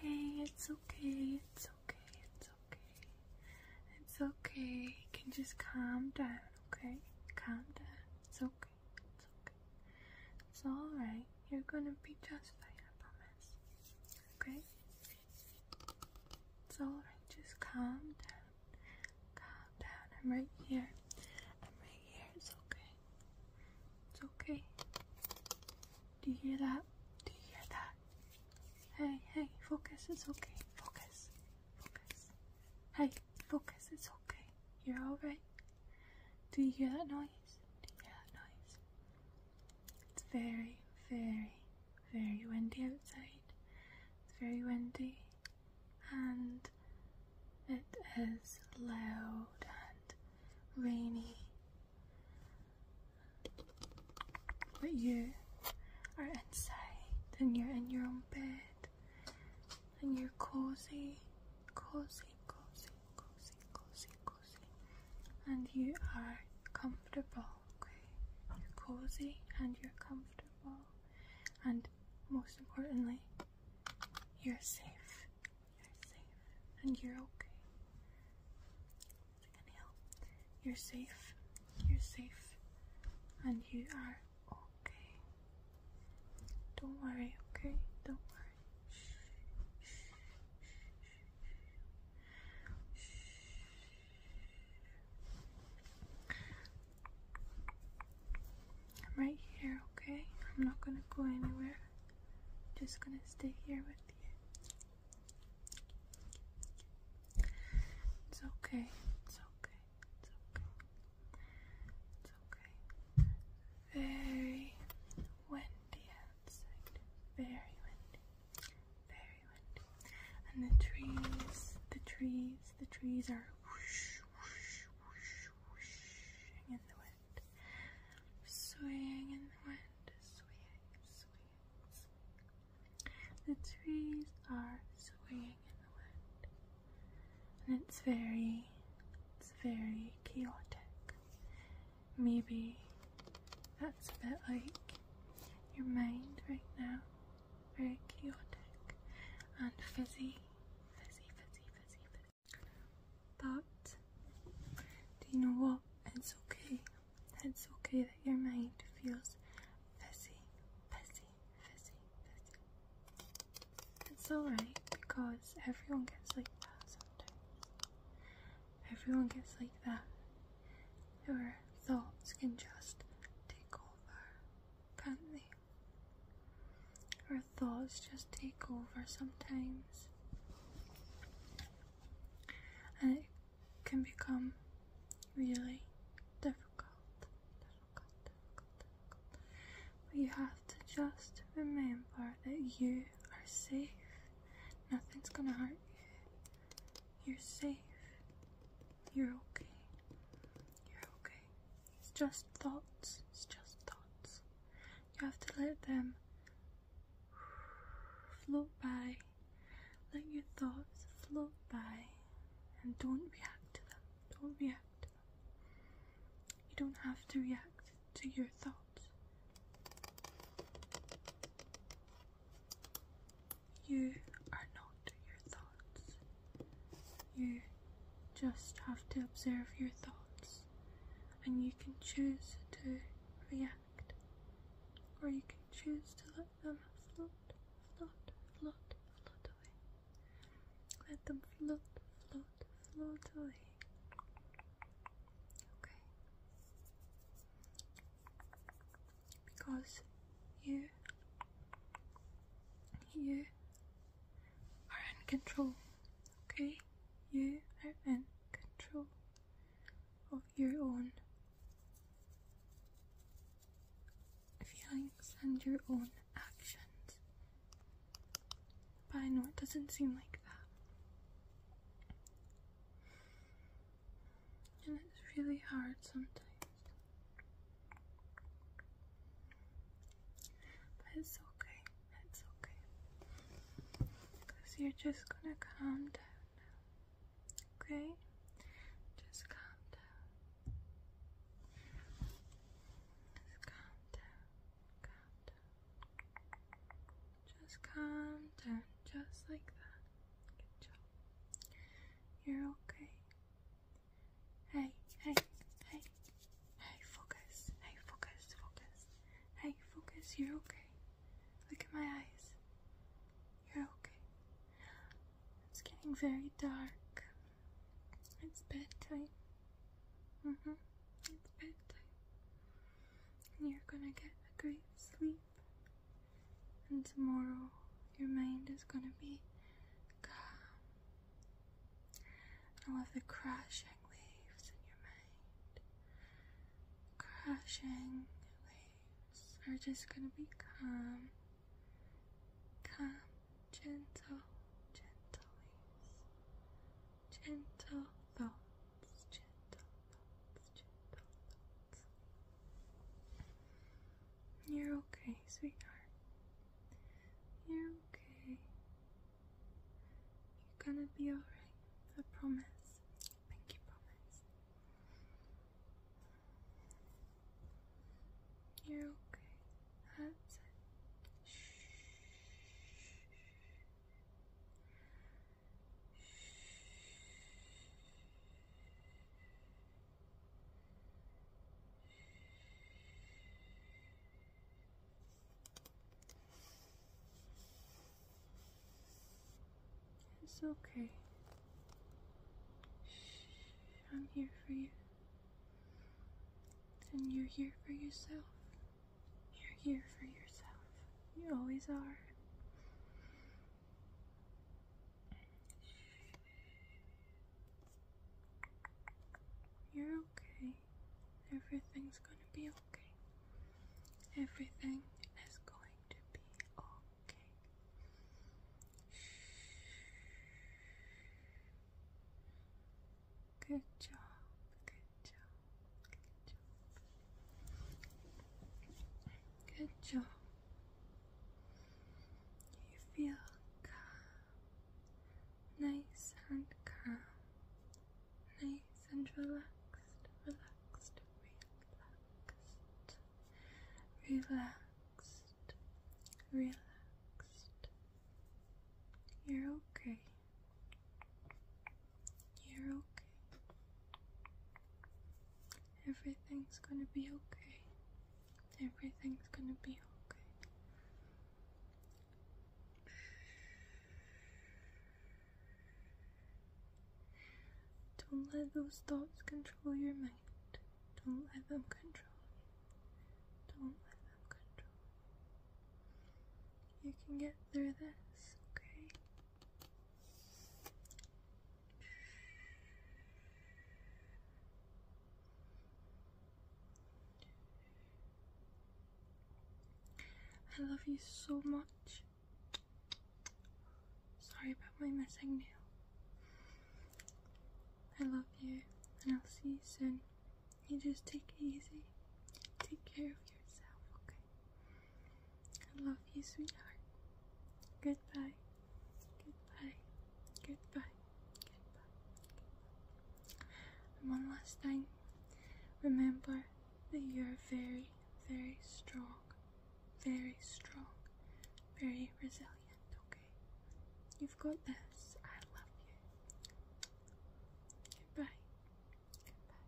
Hey, it's okay, it's okay, it's okay. It's okay. You can just calm down, okay? Calm down. It's okay, it's okay. It's alright. You're gonna be just fine, I promise. Okay? It's alright, just calm down. Calm down. I'm right here. I'm right here, it's okay. It's okay. Do you hear that? Do you hear that? Hey, hey, focus. It's okay. Focus. Focus. Hey, focus. It's okay. You're alright. Do you hear that noise? Do you hear that noise? It's very, very, very windy outside. It's very windy and it is loud and rainy. But you are inside and you're in your own bed and you're cozy, cozy, cozy, cozy, cozy, cozy. And you are comfortable, okay? You're cozy and you're comfortable. And most importantly, you're safe you're safe and you're okay. Inhale. You're safe. You're safe and you are okay. Don't worry, okay? Don't worry. I'm right here, okay? I'm not gonna go anywhere just gonna stay here with you. It's okay, it's okay, it's okay. It's okay. Very windy outside. Very windy. Very windy. And the trees, the trees, the trees are whoosh, whoosh, whoosh, whooshing in the wind wind, swaying in the wind, swaying, swaying, swaying. The trees are swaying in the wind, and it's very, it's very chaotic. Maybe that's a bit like your mind right now, very chaotic and fuzzy, fuzzy, fuzzy, fuzzy, fizzy. But do you know what? It's okay. It's okay that your mind feels fizzy, fizzy, fizzy, fizzy. It's alright because everyone gets like that sometimes. Everyone gets like that. Your thoughts can just take over, can't they? Our thoughts just take over sometimes, and it can become really difficult. difficult. But you have to just remember that you are safe. Nothing's gonna hurt you. You're safe. You're okay. You're okay. It's just thoughts. It's just thoughts. You have to let them float by. Let your thoughts float by and don't react to them. Don't react to them. You don't have to react to your thoughts. You are not your thoughts. You just have to observe your thoughts and you can choose to react or you can choose to let them float, float, float, float away. Let them float, float, float away. Okay? Because you, you are in control. Okay? You are in control of your own feelings and your own actions. But I know it doesn't seem like that. And it's really hard sometimes it's okay, it's okay. Because you're just gonna calm down Okay? Just calm down. Just calm down, calm down. Just calm down, just like that. Good job. You're okay. Hey, hey, hey, hey, focus, hey, focus, focus, hey, focus, you're okay. Look at my eyes. You're okay. It's getting very dark. It's bedtime. Mm hmm. It's bedtime. And you're gonna get a great sleep. And tomorrow your mind is gonna be calm and all of the crashing waves in your mind. Crashing waves are just going to become calm, gentle, gentle waves, gentle thoughts, gentle thoughts, gentle thoughts. You're okay, sweetheart. You're okay. You're gonna be alright. I promise. Pinky promise. You're okay. I it. Shh. Shh. Shh. It's okay. I'm here for you. And you're here for yourself. You're here for yourself. You always are. You're okay. Everything's gonna be okay. Everything is going to be okay. Good job, good job, good job. Good job, you feel calm, nice and calm, nice and relaxed, relaxed, relaxed, relaxed, relaxed. You're okay. You're okay. Everything's gonna be okay. Everything's gonna be okay. Don't let those thoughts control your mind. Don't let them control you. Don't let them control you. You can get through this, okay? I love you so much. Sorry about my missing nail. I love you and I'll see you soon. You just take it easy. Take care of yourself, okay? I love you, sweetheart. Goodbye. Goodbye. Goodbye. Goodbye. And one last thing. Remember that you're very, very strong. Very strong. Very resilient, okay? You've got this. I love you. Goodbye. Goodbye.